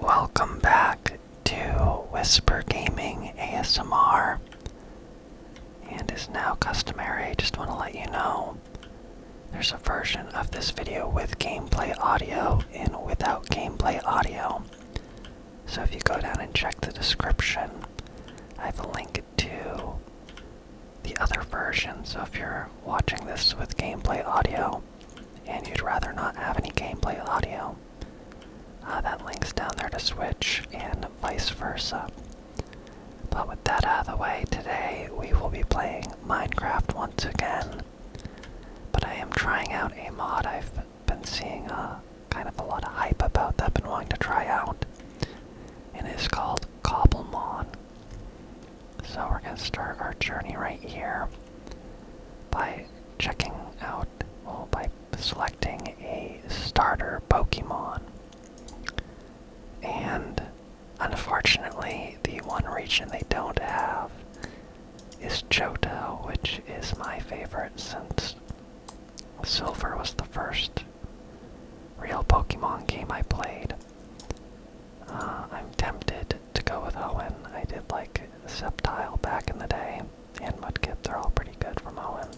Welcome back to Whisper Gaming ASMR. And is now customary, just want to let you know there's a version of this video with gameplay audio and without gameplay audio. So if you go down and check the description, I have a link to the other version. So if you're watching this with gameplay audio and you'd rather not have any gameplay audio, uh, that link's down there to Switch and vice versa. But with that out of the way, today we will be playing Minecraft once again. But I am trying out a mod I've been seeing uh, kind of a lot of hype about that I've been wanting to try out. And it's called Cobblemon. So we're gonna start our journey right here by checking out, well, by selecting a starter Pokemon. And unfortunately, the one region they don't have is Johto, which is my favorite since Silver was the first real Pokemon game I played. Uh, I'm tempted to go with Owen. I did like Septile back in the day, and Mudkip, they're all pretty good from Owen.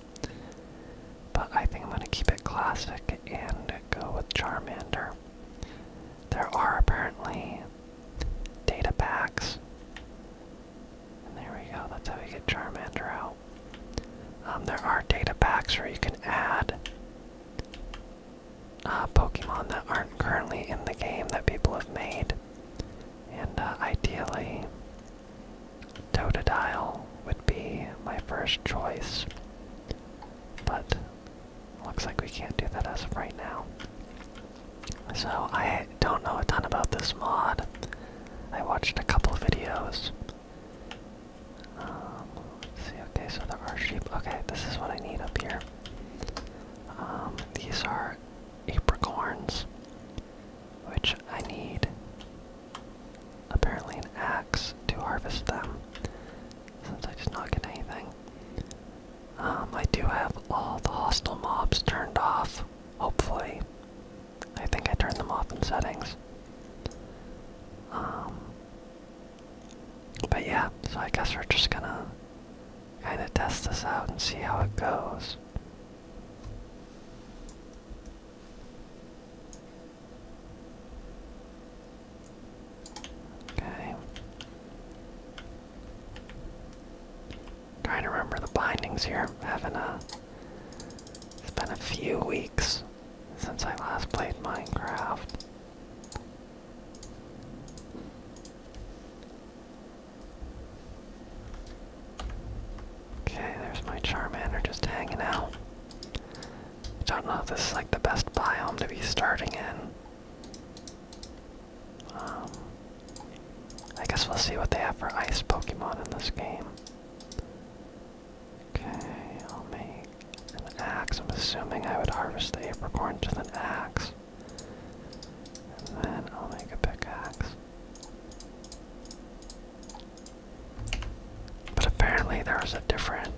But I think I'm going to keep it classic and go with Charmander. There are apparently data packs. there we go, that's how we get Charmander out. Um, there are data packs where you can add uh, Pokemon that aren't currently in the game that people have made. And uh, ideally, Totodile would be my first choice. But looks like we can't do that as of right now. So I don't know a ton about this mod. I watched a couple videos um, see, okay, so there are sheep. Okay, this is what I need up here. Um, these are apricorns, which I need apparently an axe to harvest them, since I just not get anything. Um, I do have all the hostile mobs turned off, hopefully. I think I turned them off in settings. Um, but yeah, so I guess we're just gonna kind of test this out and see how it goes. Okay. Trying to remember the bindings here. Having a it's been a few weeks since I last played Minecraft. Okay, there's my Charmander just hanging out. I don't know if this is like the best biome to be starting in. Um, I guess we'll see what they have for ice Pokemon in this game. Okay, I'll make an axe. I'm assuming I would harvest the apricorn to an axe. And then I'll make a pickaxe. But apparently there's a different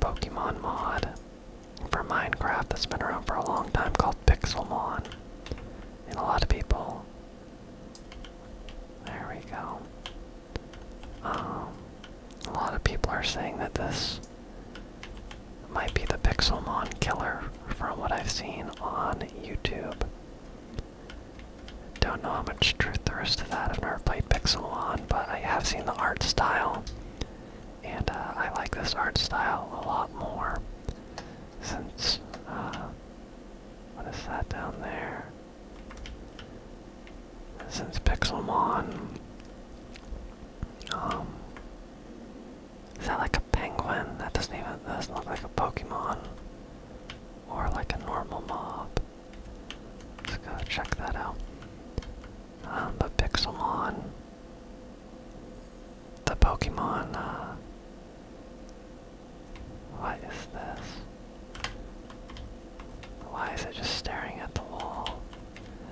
Pokemon mod for Minecraft that's been around for a long time called Pixelmon. And a lot of people. There we go. Um, a lot of people are saying that this might be the Pixelmon killer from what I've seen on YouTube. Don't know how much truth there is to that. I've never played Pixelmon, but I have seen the art style, and uh, I like this art style a lot more. Since, uh, what is that down there? since Pixelmon. Um, is that like a penguin? That doesn't even that doesn't look like a Pokemon. Or like a normal mob. Let's go check that out. Um, but Pixelmon, the Pokemon, uh, what is this? Why is it just staring at the wall?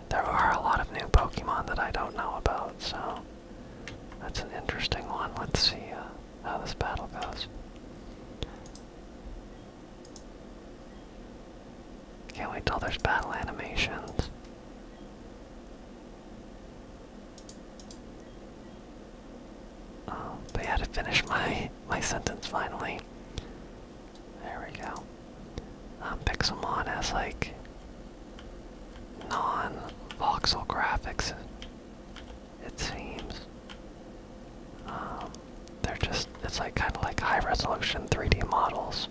There are a lot of new Pokemon that I don't know about, so that's an interesting one. Let's see uh, how this battle goes. Can't wait till there's battle animations. Um, I had to finish my my sentence finally. There we go. Um, Pixelmon has like non-voxel graphics. It seems. Um, they're just, it's like kind of like high resolution 3D models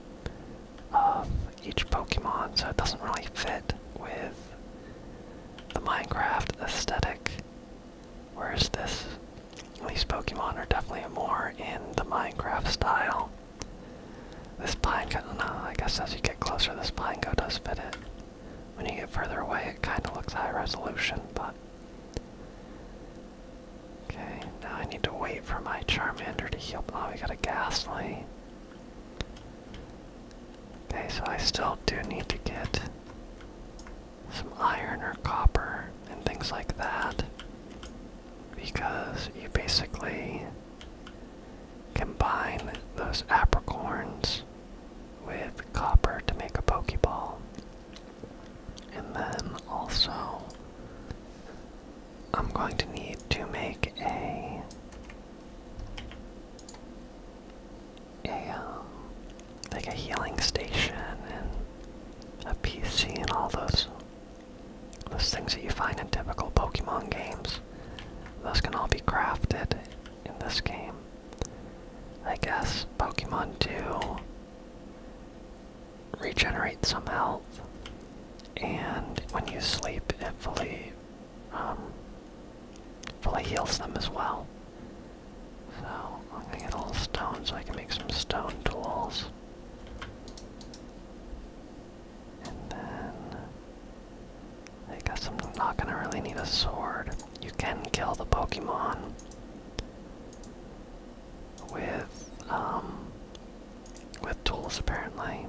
of each Pokemon, so it doesn't really fit with the Minecraft aesthetic. Whereas this, these Pokemon are definitely more in the Minecraft style. This pine go no, uh, I guess as you get closer, this pine go does fit it. When you get further away, it kind of looks high resolution, but. Okay, now I need to wait for my Charmander to heal. Oh, we got a Ghastly. Okay, so I still do need to get some iron or copper and things like that because you basically combine those apricorns with copper to make a pokeball and then also i'm going to need to make a a um, like a healing station and a PC and all those those things that you find in typical Pokemon games. Those can all be crafted in this game. I guess Pokemon do regenerate some health, and when you sleep, it fully um, fully heals them as well. So I'm gonna get a little stone so I can make some stone tools. And then I guess I'm not gonna really need a sword. You can kill the Pokemon with um with tools apparently.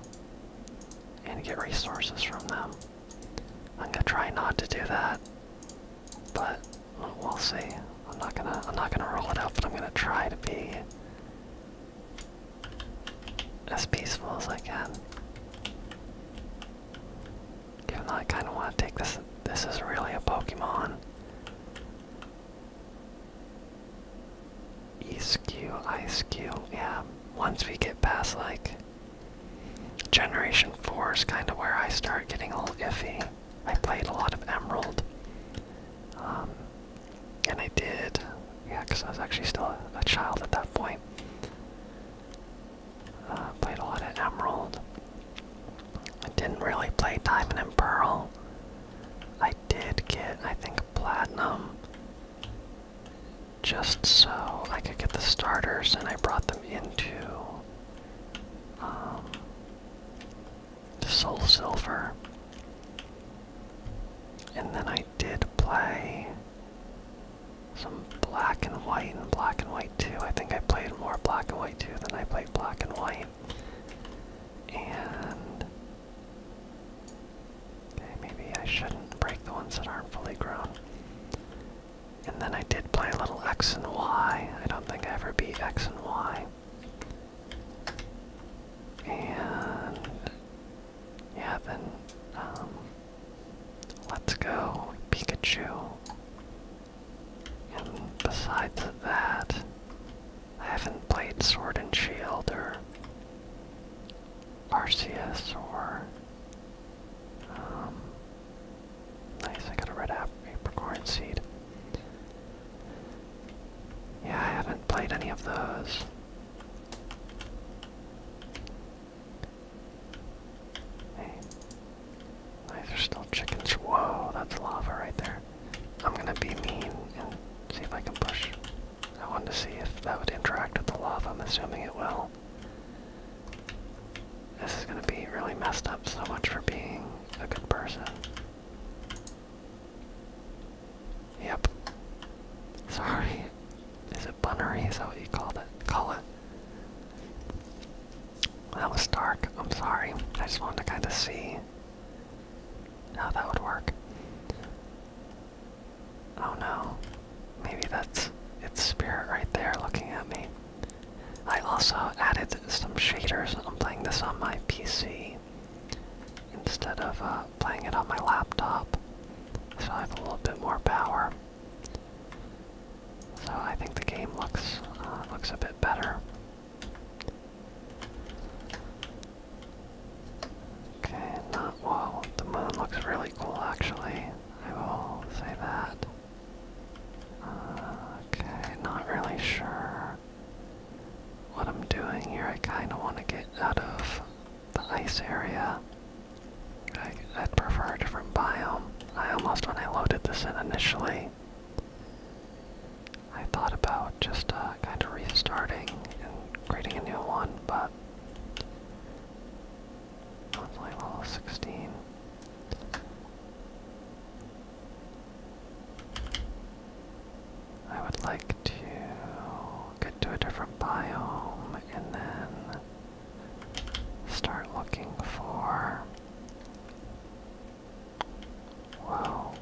And get resources from them. I'm gonna try not to do that but we'll see. I'm not gonna I'm not gonna roll it out, but I'm gonna try to be as peaceful as I can. Even though I kinda wanna take this this is really a Pokemon. ESQ, ISQ, yeah. Once we get past like Generation 4 is kind of where I start getting a little iffy. I played a lot of Emerald. Um, and I did, yeah, because I was actually still a, child at that point. Uh, played a lot of Emerald. I didn't really play Diamond and Pearl. I did get, I think, Platinum. Just so I could get the starters, and I brought them into. Um, Soul Silver. And then I did play some black and white and black and white too. I think I played more black and white too than I played black and white. And. maybe I shouldn't break the ones that aren't fully grown. And then I did play a little X and Y. I don't think I ever beat X and Y. And yeah, then um, let's go Pikachu. And besides that, I haven't played Sword and Shield or Arceus or um, Nice, I got a red apple. apricorn seed. Yeah, I haven't played any of those. Hey. Nice, there's still chickens. Whoa, that's lava right there. I'm gonna be mean see if I can push. I wanted to see if that would interact with the lava. I'm assuming it will. This is gonna be really messed up so much for being a good person. Yep. Sorry. Is it bunnery? Is that what you called it? Call it. That was dark. I'm sorry. I just wanted to kind of see how that would work. Oh no. Maybe that's its spirit right there looking at me. I also added some shaders. I'm playing this on my PC instead of uh, playing it on my laptop, so I have a little bit more power. So I think the game looks uh, looks a bit better. Okay, not whoa. The moon looks really cool, actually. I will say that. Uh, okay, not really sure what I'm doing here. I kind of want to get out of the ice area. I, would prefer a different biome. I almost, when I loaded this in initially, I thought about just uh, kind of restarting and creating a new one, but it's level 16. I would like to get to a different biome and then start looking for. Whoa.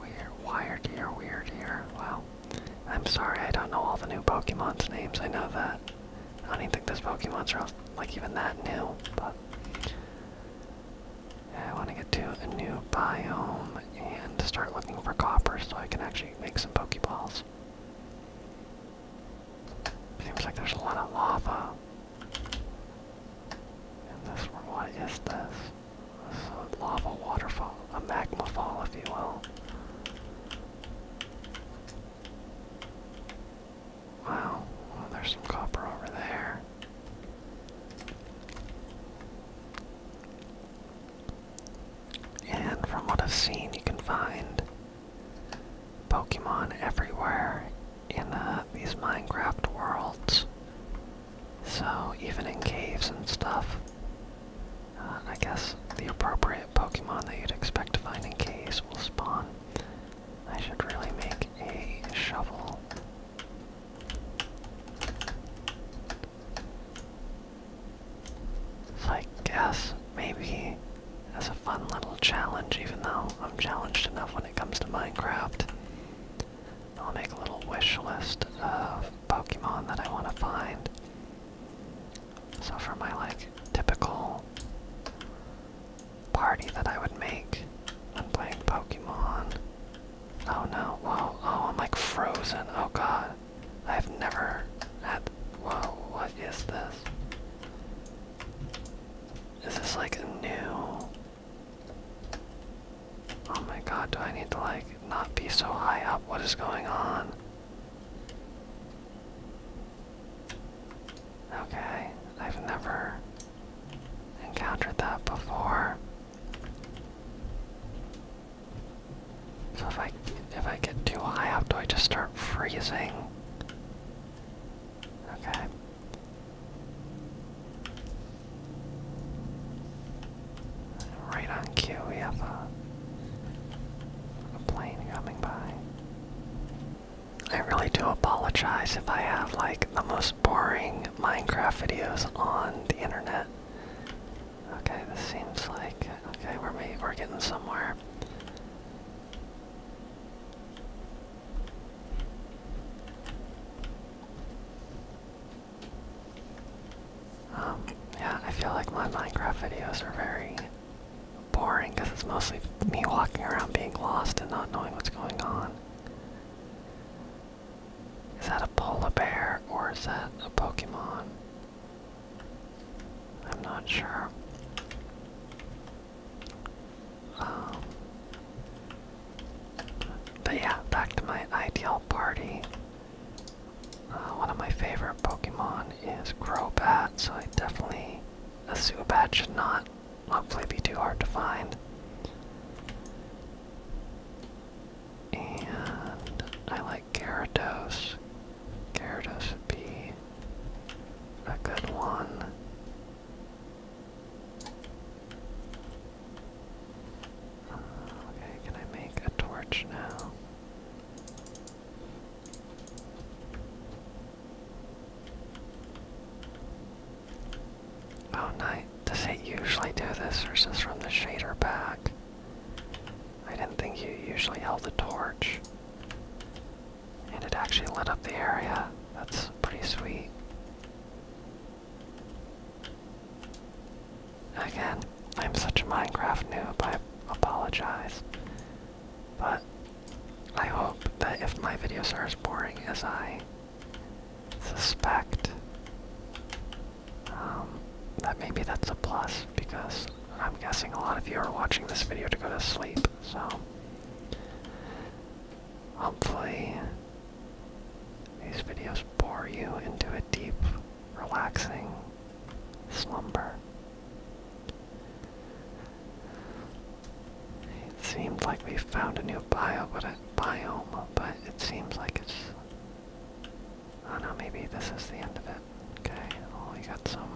Weird, wired here, weird Wow. I'm sorry, I don't know all the new Pokemon's names, I know that. I don't even think those Pokemon are like even that new, but I want to get to a new biome and start looking for copper so I can actually make some Pokeballs. Seems like there's a lot of lava. And this one, what is this? This lava waterfall, a magma fall, if you will. Wow. Well, there's some copper over there. And from what I've seen, you can find Pokemon everywhere in uh, these Minecraft worlds. So, even in caves and stuff, uh, I guess the appropriate Pokemon that you'd expect to find in caves will spawn. I should really make a shovel. So I guess maybe as a fun little challenge, even though I'm challenged enough when it comes to Minecraft, I'll make a little wish list of Pokemon that I want to find. So for my like typical party that I would make I'm playing Pokemon. Oh no, whoa, oh, I'm like frozen, oh god. I've never had, whoa, what is this? Is this like a new, oh my god, do I need to like not be so high up? What is going on? Okay, I've never encountered that before. So if I if I get too high up, do I just start freezing? Okay. Right on cue, we have a plane coming by. I really do apologize if I have like the most boring Minecraft videos on the internet. Okay, this seems like okay, we're we're getting somewhere. Um, yeah, I feel like my Minecraft videos are very boring because it's mostly me walking around being lost and not knowing what's going on. Is that a polar bear or is that a Pokemon? I'm not sure. Um, but yeah, back to my ideal party. Uh, one of my favorite Pokemon is Crobat, so I definitely a Zubat should not hopefully be too hard to find. And I like Gyarados. Gyarados be a good one. Uh, okay, can I make a torch now? Oh, nice. Does it usually do this, or is this from the shader pack? I didn't think you usually held a torch. And it actually lit up the area. That's pretty sweet. Again, I'm such a Minecraft noob, I apologize. But I hope that if my videos are as boring as I suspect, um, that maybe that's a plus because I'm guessing a lot of you are watching this video to go to sleep, so hopefully these videos bore you into a deep, relaxing slumber. It seems like we found a new bio, but it, biome, but it seems like it's... I don't know, maybe this is the end of it. Okay, well we got some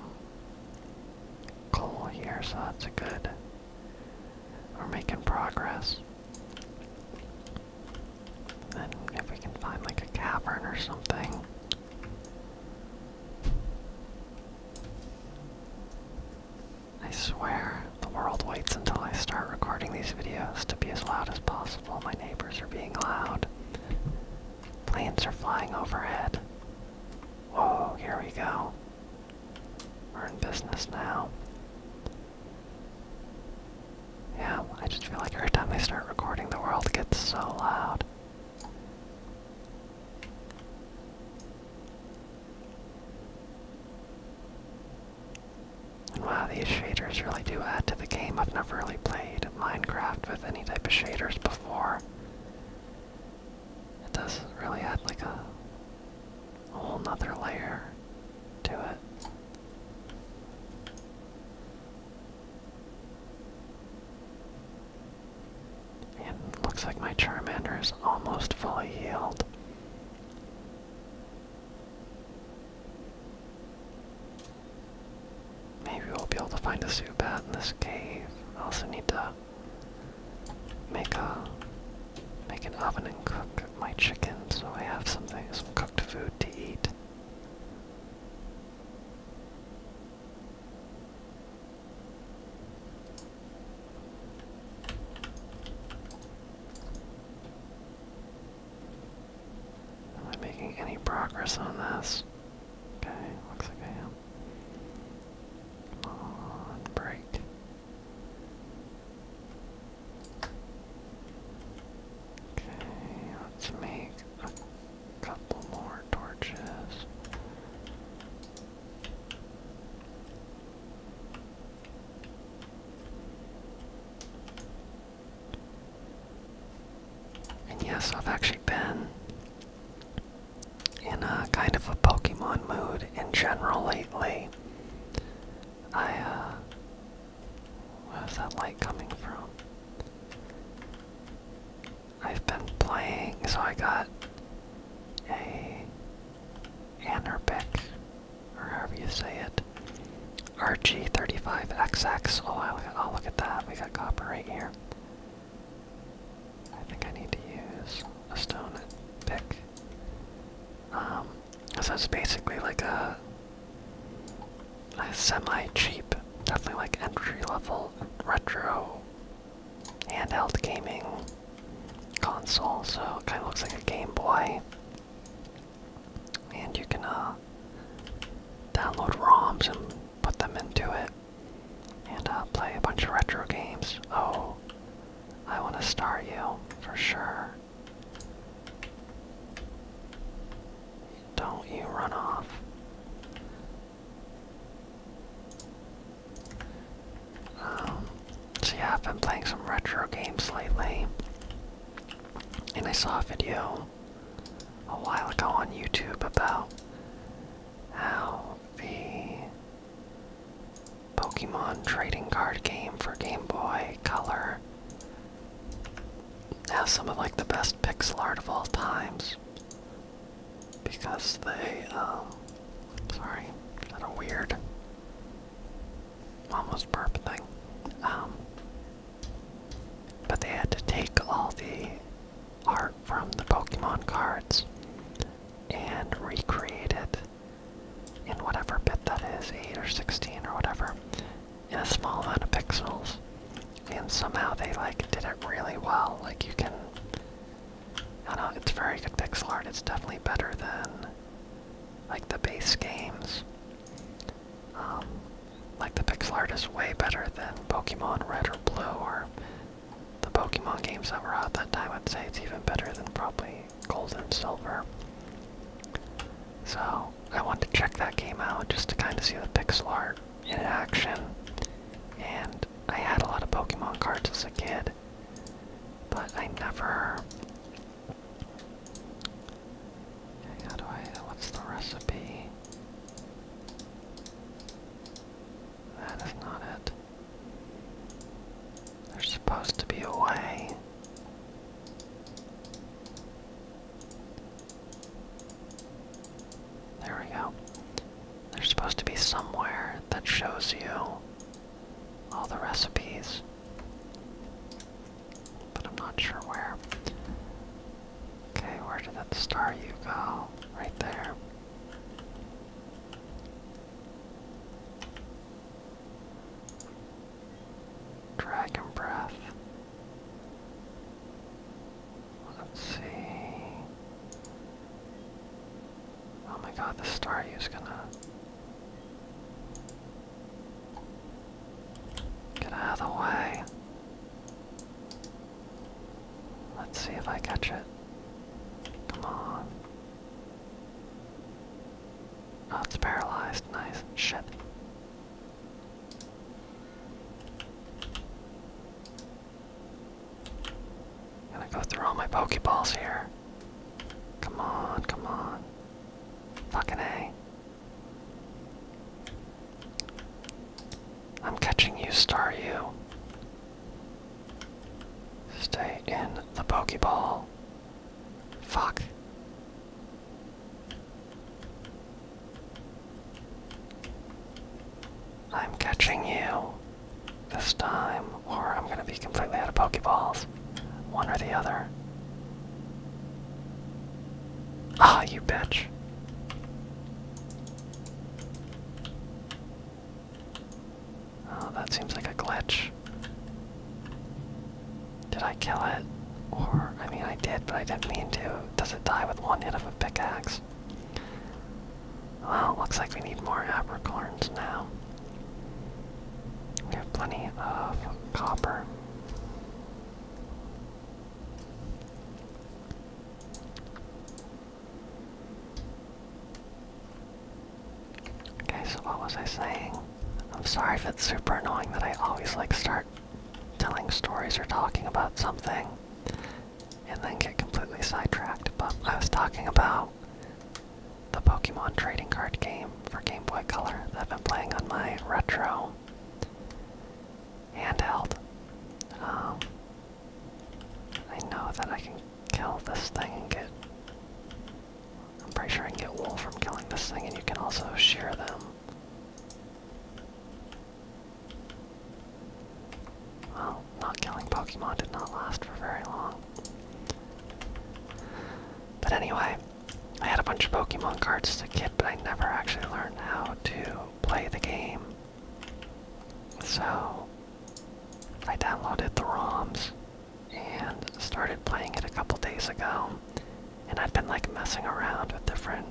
coal here, so that's good... We're making progress. Then, if we can find like a cavern or something. I swear, the world waits until I start recording these videos to be as loud as possible. My neighbors are being loud. Planes are flying overhead. Whoa, here we go. We're in business now. Yeah, I just feel like every time I start recording, the world gets so loud. Wow, these shaders really do add to the game. I've never really played Minecraft with any type of shaders before. It does really add like a whole other layer to it. It looks like my Charmander is almost fully healed. Maybe we'll be able to find a Zubat in this cave. I also need to make a make an oven and cook my chicken so I have something some cooked food to eat. Am I making any progress on this? Okay, looks like I am. break. Okay, let's make a couple more torches. And yes, I've actually been in a kind of a Pokemon mood in general lately. I, uh. Where's that light coming from? I've been playing, so I got a Anerbic, or however you say it, RG35XX. Oh, I'll, I'll look at that. We got copper right here. I think I need to use a stone pick. Um, so it's basically like a, a semi-cheap, definitely like entry-level retro handheld gaming console, so kind of looks like a Game Boy. And you can uh, download ROMs and put them into it and uh, play a bunch of retro games. Oh, I want to start you for sure. Don't you run off. Um, yeah, I've been playing some retro games lately. And I saw a video a while ago on YouTube about how the Pokemon trading card game for Game Boy Color has some of like the best pixel art of all times because they, um, sorry, had a weird, almost burp thing. Um, but they had to take all the art from the Pokemon cards and recreate it in whatever bit that is, 8 or 16 or whatever, in a small amount of pixels. And somehow they like did it really well. Like you can I know, it's very good pixel art. It's definitely better than like the base games. Um, like the pixel art is way better than Pokemon Red or Blue or the Pokemon games that were out that time. I'd say it's even better than probably Gold and Silver. So I want to check that game out just to kind of see the pixel art in action. And I had a lot of Pokemon cards as a kid, but I never. how do I. What's the recipe? That is not it. There's supposed to be a way. There we go. There's supposed to be somewhere that shows you all the recipes, but I'm not sure where. Okay, where did that star you go? Right there. Dragon breath. Let's see. Oh my god, the star is gonna get out of the way. Let's see if I catch it. Come on. Oh, it's paralyzed. Nice. Shit. Gonna go through all my Pokeballs here. Come on, come on. Fucking A. I'm catching you, Staryu. Stay in the Pokeball. Fuck. I'm catching you this time, or I'm gonna be completely out of Pokeballs. One or the other. Ah, you bitch. Oh, that seems like a glitch. Did I kill it? Or, I mean, I did, but I didn't mean to. Does it die with one hit of a pickaxe? Well, looks like we need more apricorns now. We have plenty of copper. Okay, so what was I saying? I'm sorry if it's super annoying that I always like start telling stories or talking about something and then get completely sidetracked, but I was talking about the Pokemon trading card game for Game Boy Color that I've been playing on my retro handheld. Um, I know that I can kill this thing and get. I'm pretty sure I can get wool from killing this thing, and you can also shear them. Well, not killing Pokemon did not last for very long. But anyway, I had a bunch of Pokemon cards as a kid, but I never actually learned how to play the game. So, I downloaded the ROMs and started playing it a couple days ago. And I've been like messing around with different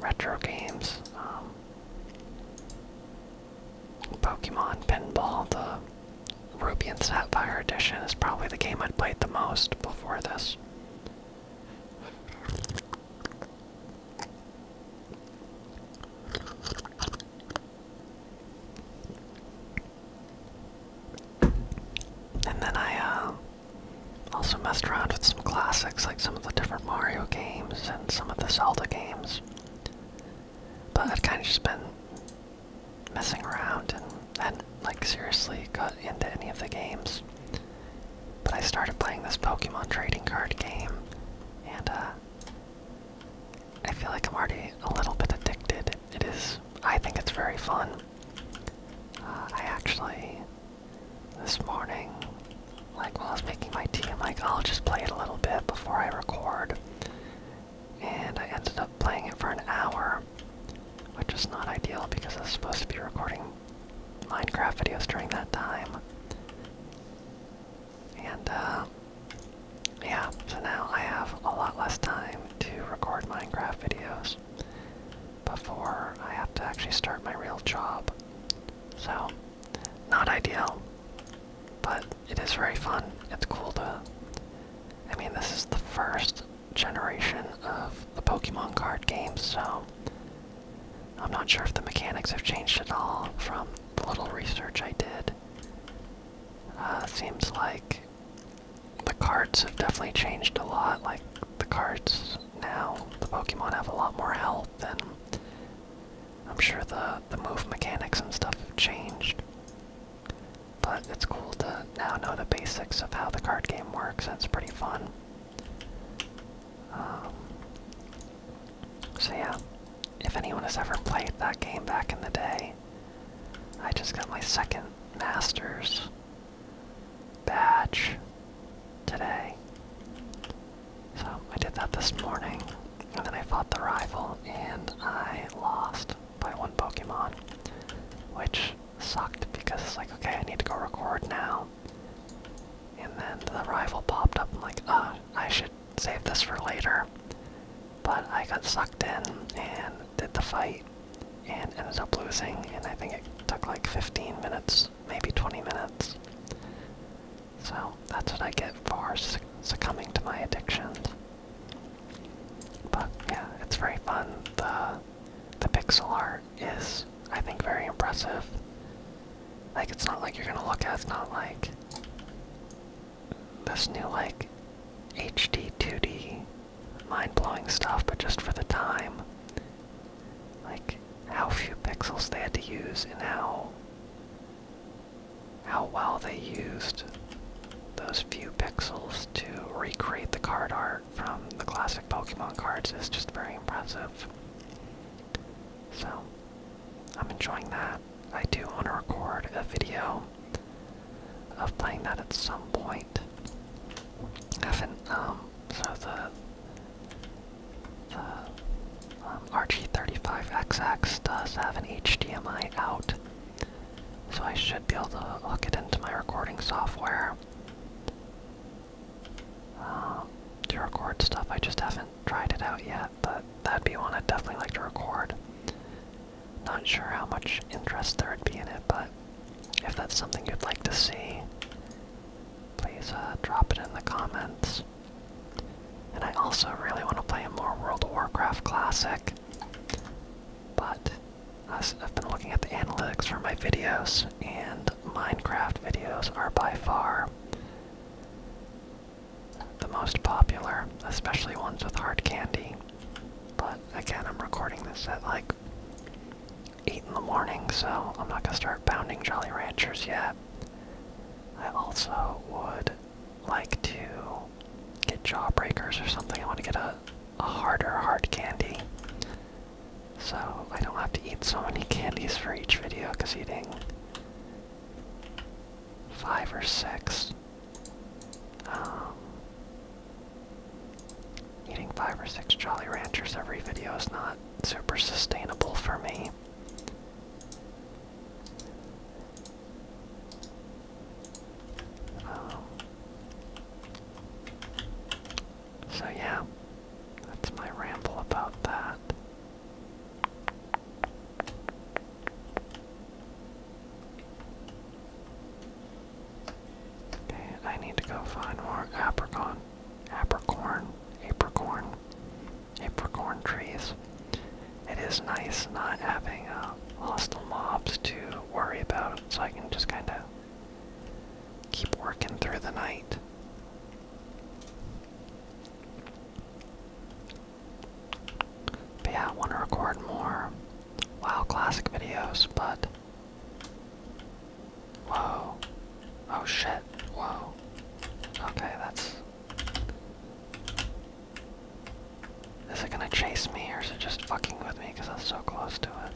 retro games. Um, Pokemon Pinball, the Ruby and Sapphire edition, is probably the game I'd played the most before this. And then I uh, also messed around with some classics like some of the different Mario games and some of the Zelda games. But I've kind of just been messing around and hadn't like seriously got into any of the games. But I started playing this Pokemon trading card game, and uh, I feel like I'm already a little bit addicted. It is, I think it's very fun. Uh, I actually, this morning, like while I was making my tea, I'm like, I'll just play it a little bit before I record. And I ended up playing it for an hour, which is not ideal because I was supposed to be recording Minecraft videos during that time. And, uh, yeah, so now I have a lot less time to record Minecraft videos before I have to actually start my real job. So, not ideal, but it is very fun. It's cool to. I mean, this is the first generation of the Pokemon card games, so I'm not sure if the mechanics have changed at all from the little research I did. Uh, seems like the cards have definitely changed a lot. Like, the cards now, the Pokemon have a lot more health and I'm sure the the move mechanics and stuff have changed. But it's cool to now know the basics of how the card game works. That's pretty fun. Um, so yeah, if anyone has ever played that game back in the day, I just got my second Masters badge today. So I did that this morning, and then I fought the rival, and I lost by one Pokemon, which sucked because it's like, okay, I need to go record now. And then the rival popped up, I'm like, ah, oh, I should save this for later. But I got sucked in and did the fight and ended up losing, and I think it took like 15 minutes, maybe 20 minutes. So that's what I get for succumbing to my addictions. But yeah, it's very fun. The the pixel art is, I think, very impressive. Like it's not like you're gonna look at it's not like this new like HD 2D mind-blowing stuff, but just for the time. Like how few pixels they had to use and how how well they used those few pixels to recreate the card art from the classic Pokemon cards is just very impressive. So, I'm enjoying that. I do want to record a video of playing that at some point. I haven't, um, so the, the um, RG35XX does have an HDMI out, so I should be able to hook it into my recording software um, to record stuff. I just haven't tried it out yet, but that'd be one I'd definitely like to record. Not sure how much interest there would be in it, but if that's something you'd like to see, please uh, drop it in the comments. And I also really want to play a more World of Warcraft Classic. But I've been looking at the analytics for my videos, and Minecraft videos are by far the most popular, especially ones with hard candy. But again, I'm recording this at like 8 in the morning, so I'm not gonna start pounding Jolly Ranchers yet. I also would like to get jawbreakers or something. I want to get a, a harder hard candy. So I don't have to eat so many candies for each video because eating five or six. Um, eating five or six Jolly Ranchers every video is not super sustainable for me. Oh. so yeah, that's my ramble about that. Okay, I need to go find more apricorn, apricorn, apricorn apricorn trees. It is nice not having uh, hostile mobs to worry about, so I can just kind of keep working through the night. But yeah, I want to record more WoW Classic videos, but. Whoa. Oh shit. Whoa. Okay, that's is it gonna chase me or is it just fucking with me because I'm so close to it?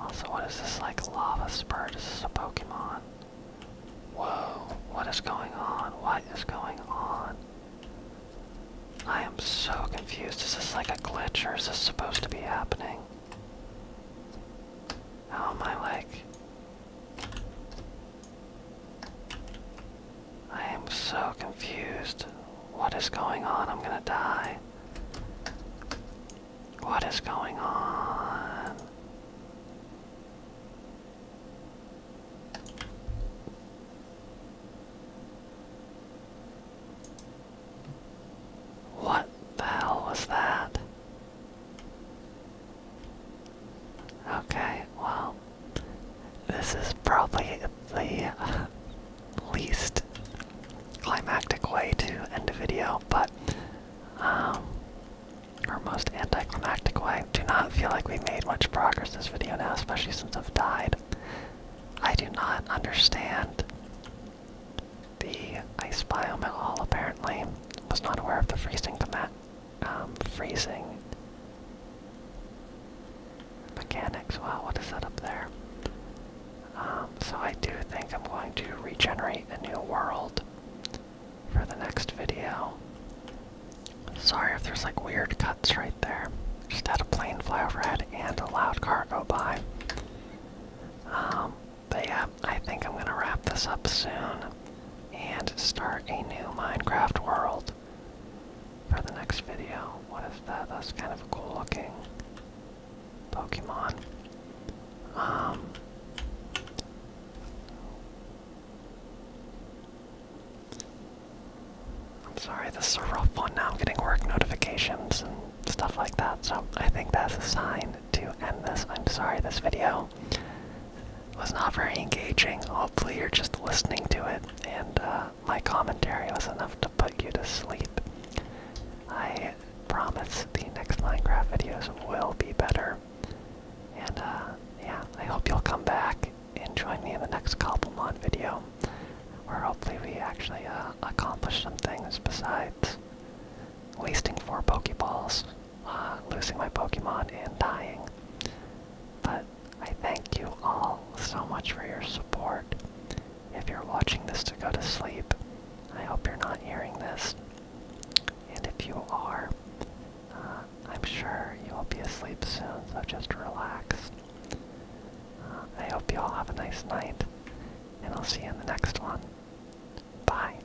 Also, what is this like lava spurt? Is this a Pokemon? Whoa, what is going on? What is going on? I am so confused. Is this like a glitch or is this supposed to be happening? How am I like I am so confused. What is going on? I'm gonna die. What is going on? What the hell was that? Okay, well, this is probably the least climactic way to end a video, but, um, our most anticlimactic way. Do not feel like we made much progress this video now, especially since I've died. I do not understand the ice biome at all, apparently. Was not aware of the freezing command um, freezing mechanics. Wow, what is that up there? Um, so I do think I'm going to regenerate a new world for the next video. Sorry if there's like weird cuts right there. Just had a plane fly overhead and a loud car go by. Um, but yeah, I think I'm gonna wrap this up soon and start a new Minecraft world for the next video. What is that? That's kind of a cool looking Pokemon. Um, I'm sorry, this is a rough one now. I'm getting work notifications and stuff like that, so I think that's a sign to end this. I'm sorry this video was not very engaging. Hopefully, you're just listening to it, and uh, my commentary was enough to put you to sleep. I promise the next Minecraft videos will be better. And uh, yeah, I hope you'll come back and join me in the next couple Cobblemon video, where hopefully we actually uh, accomplish some things besides wasting four Pokeballs. Uh, losing my Pokemon and dying. But I thank you all so much for your support. If you're watching this to go to sleep, I hope you're not hearing this. And if you are, uh, I'm sure you will be asleep soon, so just relax. Uh, I hope you all have a nice night, and I'll see you in the next one. Bye.